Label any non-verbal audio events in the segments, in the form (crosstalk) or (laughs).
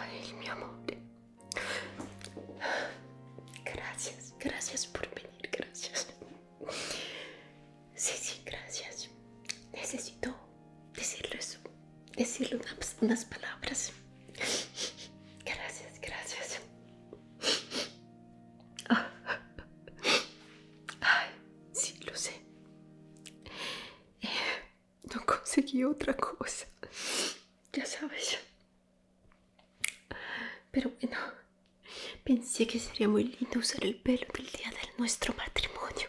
Ay, mi amor. Gracias, gracias por venir, gracias. Sí, sí, gracias. Necesito eso decirle unas, unas palabras. Gracias, gracias. Ay, sí, lo sé. Eh, no conseguí otra cosa. Ya sabes. Pero bueno, pensé que sería muy lindo usar el pelo el día de nuestro matrimonio.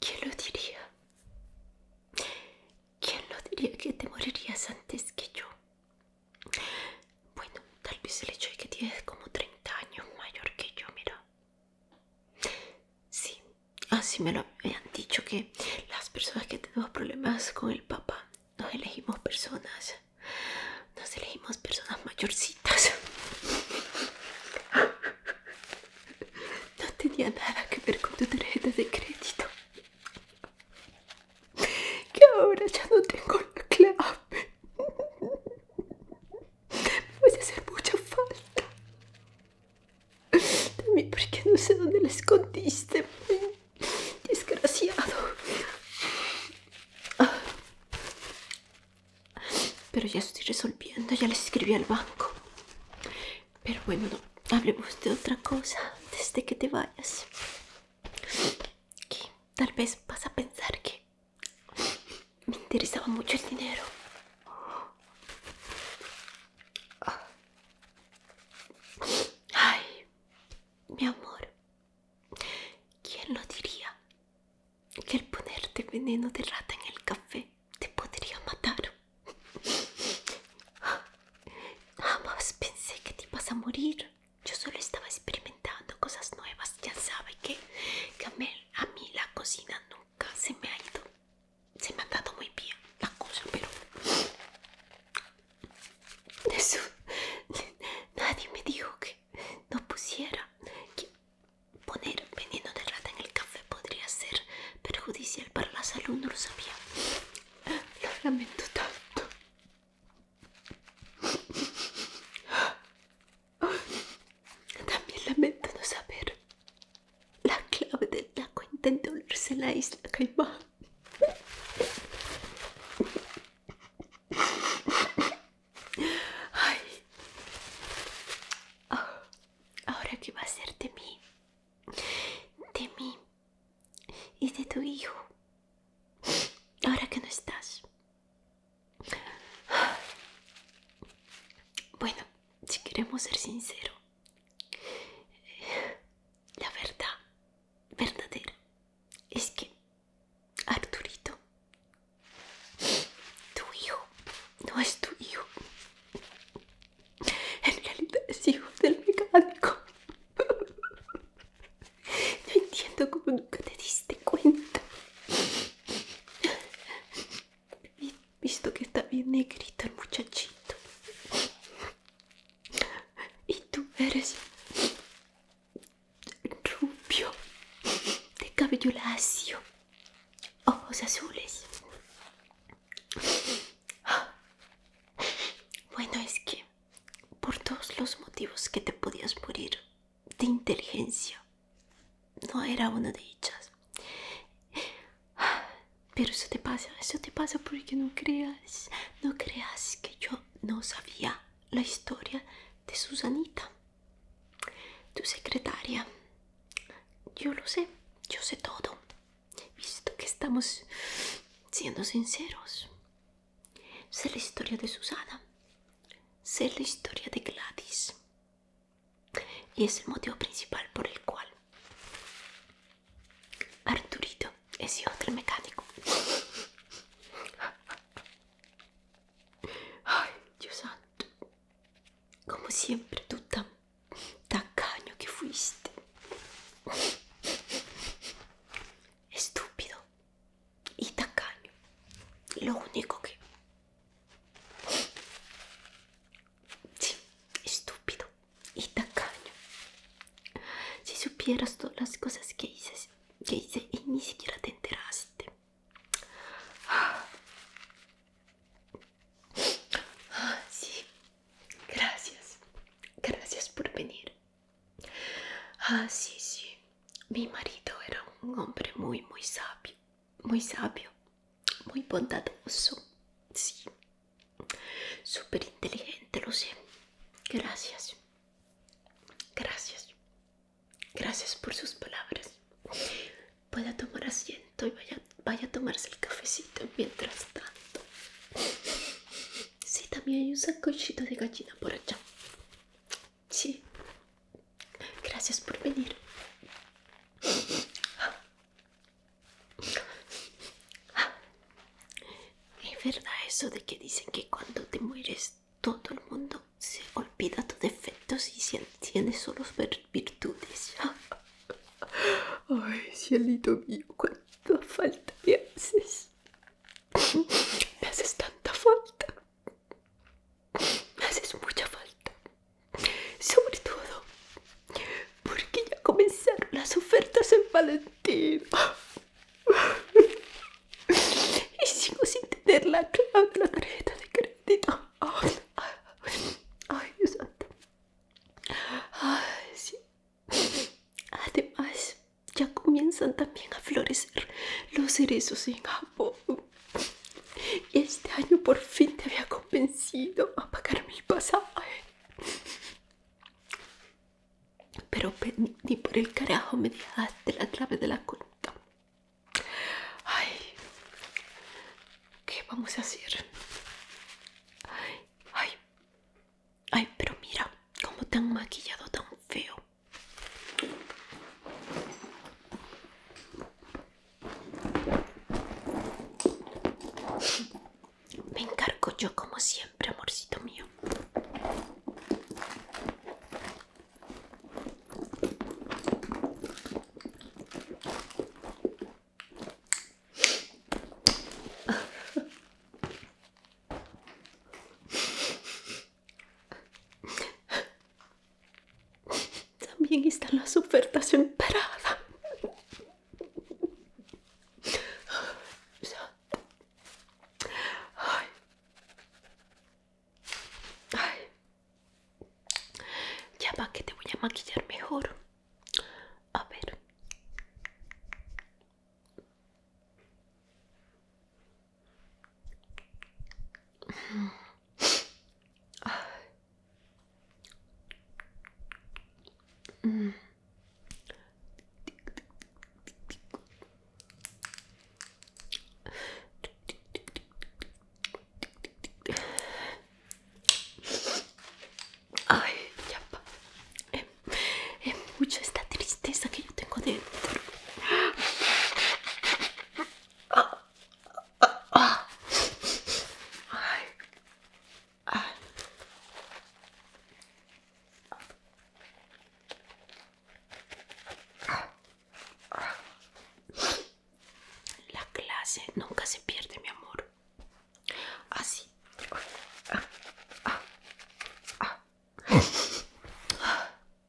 ¿Quién lo diría? ¿Quién lo diría que te morirías antes que yo? Bueno, tal vez el hecho de que tienes como 30 años mayor que yo, mira. Sí, así ah, me lo habían dicho que las personas que tenemos problemas con el papá nos elegimos personas, nos elegimos personas mayorcitas. No tenía nada que ver con tu tarjeta de crédito. Que ahora ya no tengo la clave. Me a hacer mucha falta. También porque no sé dónde la escondiste. Desgraciado. Ah. Pero ya estoy resolviendo, ya le escribí al banco. Pero bueno, hablemos de otra cosa antes de que te vayas. Que tal vez vas a pensar que me interesaba mucho el dinero. Ay, mi amor, ¿quién lo diría? Que el ponerte veneno de rata en el café te podría matar. Jamás pensé que te ibas a morir. Yo solo estaba experimentando cosas nuevas. Ya sabe que, que a mí la cocina nunca se me ha ido se me ha dado muy bien la cosa, pero nadie me dijo que no pusiera que poner veneno de rata en el café podría ser perjudicial para la salud, no lo sabía. Lo lamento tanto. También lamento no saber la clave del taco intenta de la isla Caimán. Ah, ahora que va a ser de mí, de mí y de tu hijo. Ahora que no estás. Bueno, si queremos ser sinceros, eh, la verdad verdadera es que Arturito, tu hijo, no es tu hijo. En realidad es hijo del mecánico. No entiendo como nunca te diste cuenta visto que está bien negrito el muchachito. Y tú eres rubio, de cabello lacio, ojos azules. Bueno, es que por todos los motivos que te podías morir de inteligencia no era una de ellas. Pero eso te pasa, eso te pasa porque no creas, no creas que yo no sabía la historia de Susanita, tu secretaria. Yo lo sé, yo sé todo, visto que estamos siendo sinceros. Sé la historia de Susana, sé la historia de Gladys, y es el motivo principal por el cual Arturito es hijo mecánico. Ay, Dios santo. Como siempre, tú tan tacaño que fuiste. Estúpido y tacaño. Lo único que Sí, estúpido y tacaño. Si supieras todas las cosas que hice, que hice y ni siquiera te enteraste. Ah, sí, gracias. Gracias por venir. Ah, sí, sí. Mi marido era un hombre muy, muy sabio muy sabio, muy bondadoso, sí, súper inteligente, lo sé. Gracias, gracias, gracias por sus palabras. Pueda tomar asiento y vaya, vaya a tomarse el cafecito mientras tanto. Sí, también hay un sacochito de gallina por allá. Sí, Gracias por venir. ¿Es verdad eso de que dicen que cuando te mueres todo el mundo se olvida tus defectos y tienes solo virtudes? Ay, cielito mío, cuánta falta me haces. Me haces tanta falta me (laughs) haces mucha falta. Sobre todo porque ya comenzaron las ofertas en Valentín. (laughs) Y sigo sin tener la clave de la tarjeta de crédito. Ay, Dios santo. Ay, sí. Además, ya comienzan también a florecer los cerezos en Japón este año por fin te había convencido a pagar mi pasaje. Pero ni por el carajo me dejaste la clave de la cuenta. Ay, ¿qué vamos a hacer? Ay, ay, pero mira cómo te han maquillado tan feo. Me encargo yo como siempre, amorcito mío. También está la ofertas en Ya va que te voy a maquillar mejor. A ver. Ay, ya Es em, em, mucho esta tristeza que yo tengo dentro. La clase nunca se pierde, mi amor. Así. Ah, ah, ah,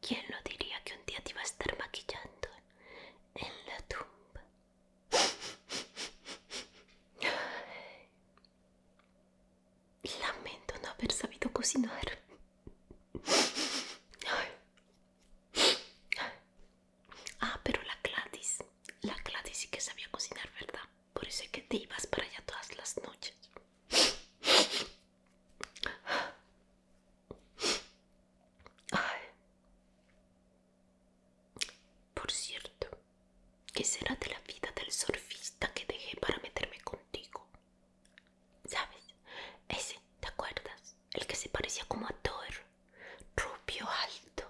¿Quién lo diría que un día te iba a estar maquillando en la tumba? (laughs) Lamento no haber sabido cocinar. Ah, pero la Gladys, la Gladys sí que sabía cocinar, ¿verdad? por eso que te ibas para allá todas las noches. Por cierto, ¿qué será de la vida del surfista que dejé para meterme contigo? ¿Sabes? Ese, ¿te acuerdas? El que se parecía como a Thor, rubio alto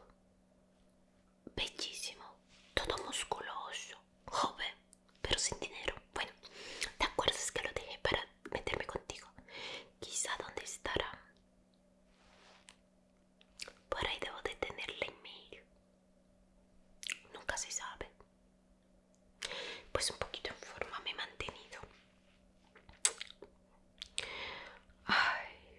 bellísimo, todo musculoso, joven, pero sin dinero. Bueno, ¿te acuerdas que lo dejé para meterme contigo? Quizá dónde estará. Por ahí debo de en medio. Nunca se sabe. Pues un poquito en forma me he mantenido. Ay,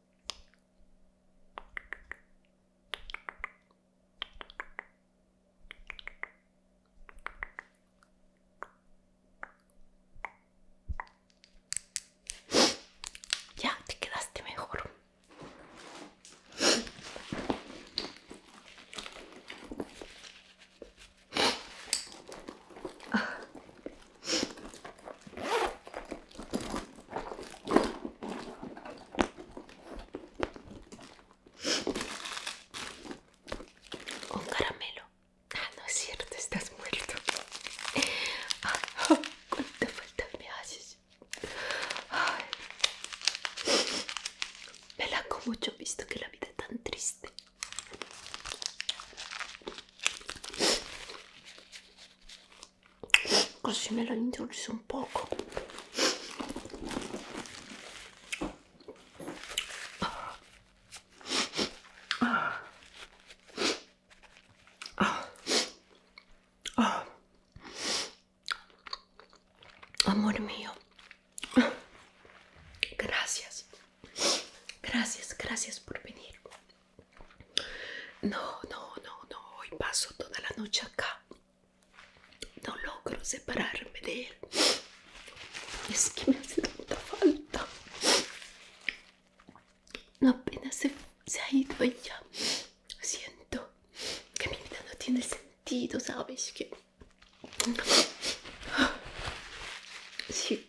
Ya te quedaste mejor. Un caramelo. Ah, no es cierto, estás muerto. (laughs) ¿Cuánto falta me haces. Me la mucho visto que la vida es tan triste così me lo indulzo un poco amor mío gracias gracias gracias por venir no, no, no, no. Hoy paso toda la noche acá. No logro separarme de él. Es que me hace tanta falta. Apenas se, ha ido ella. Siento que mi vida no tiene sentido, ¿sabes? Que... Sí.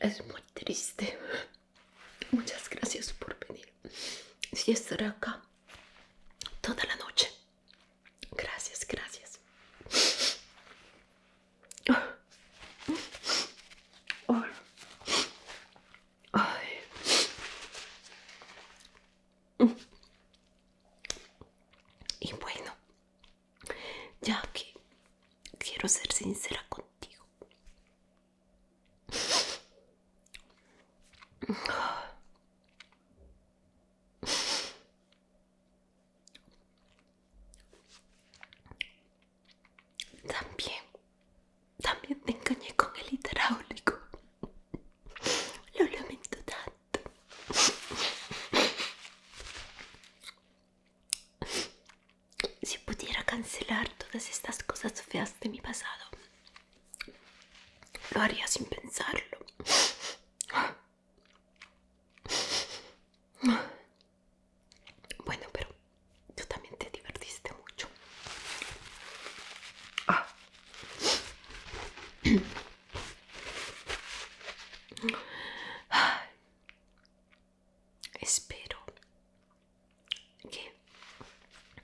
Es muy triste. Muchas gracias por venir. si estaré acá toda la noche. Gracias, gracias. Y bueno, ya que quiero ser sincera contigo. También, también te engañé con el hidráulico. Lo lamento tanto. Si pudiera cancelar todas estas cosas feas de mi pasado, lo haría sin pensarlo. Bueno, pero tú también te divertiste mucho. Ah. Espero que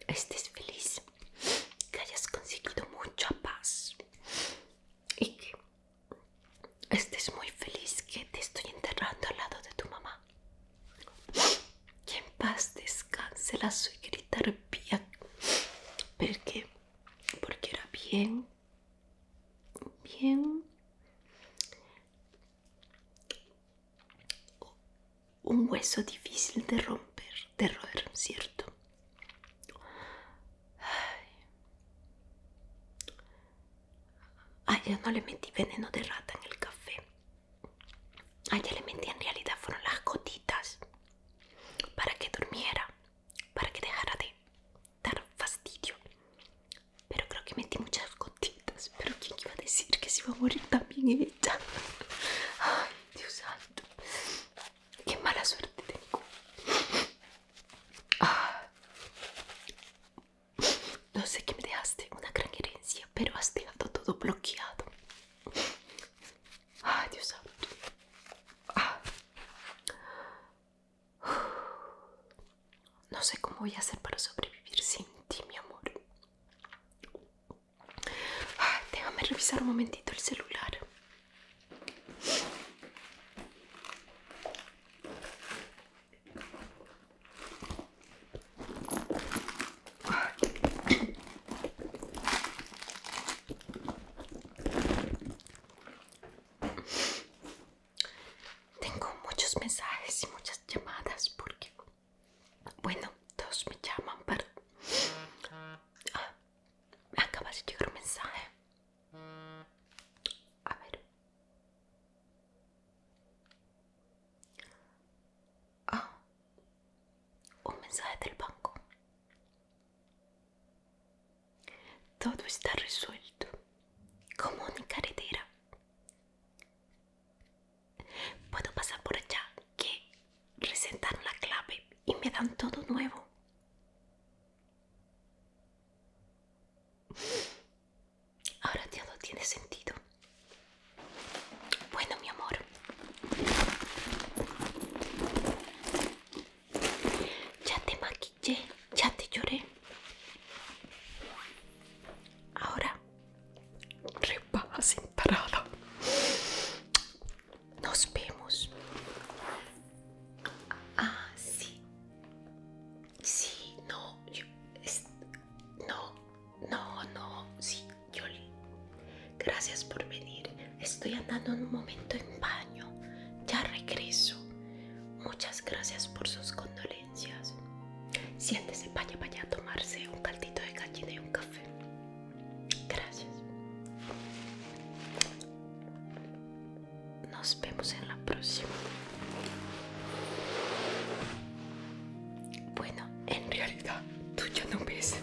estés feliz, que hayas conseguido mucha paz y que estés muy feliz que te estoy enterrando al lado de tu mamá. Que en paz descanse la suegrita arpía, porque, porque era bien Bien. Un hueso difícil de romper, de roer, ¿cierto? Ay. yo no le metí veneno de rata en el café. Ay, le metí en realidad fueron las gotitas para que durmiera, para que dejara de dar fastidio pero creo que metí muchas gotitas. Pero quién iba a decir que se iba a morir también ella. (laughs) Ay, Dios santo. Qué mala suerte tengo. No sé qué me dejaste, una gran herencia, pero has dejado todo bloqueado. Ay, Dios santo. No sé cómo voy a hacer para sobrevivir sin ti, mi amor. Ah, déjame revisar un momentito el celular. Tengo muchos mensajes y muchas llamadas porque, bueno, todos me llaman, pero me ah, acaba de llegar un mensaje. A ver. Ah, un mensaje del banco. Todo está resuelto, como mi carretera. Puedo pasar por allá, que resentaron la clave y me dan todo nuevo. Ahora ya no tiene sentido. Bueno, mi amor. Ya te maquillé, ya te lloré. Ahora repasa sin Nos vemos. Ah, sí. Sí, no, no, no, no, sí, Jolie. Gracias por venir. Estoy andando un momento en baño. Ya regreso. Muchas gracias por sus condolencias. Siéntese, vaya, vaya a tomarse un caldito de gallina y un café. Gracias. Nos vemos en la próxima. Bueno, en realidad tú ya no ves.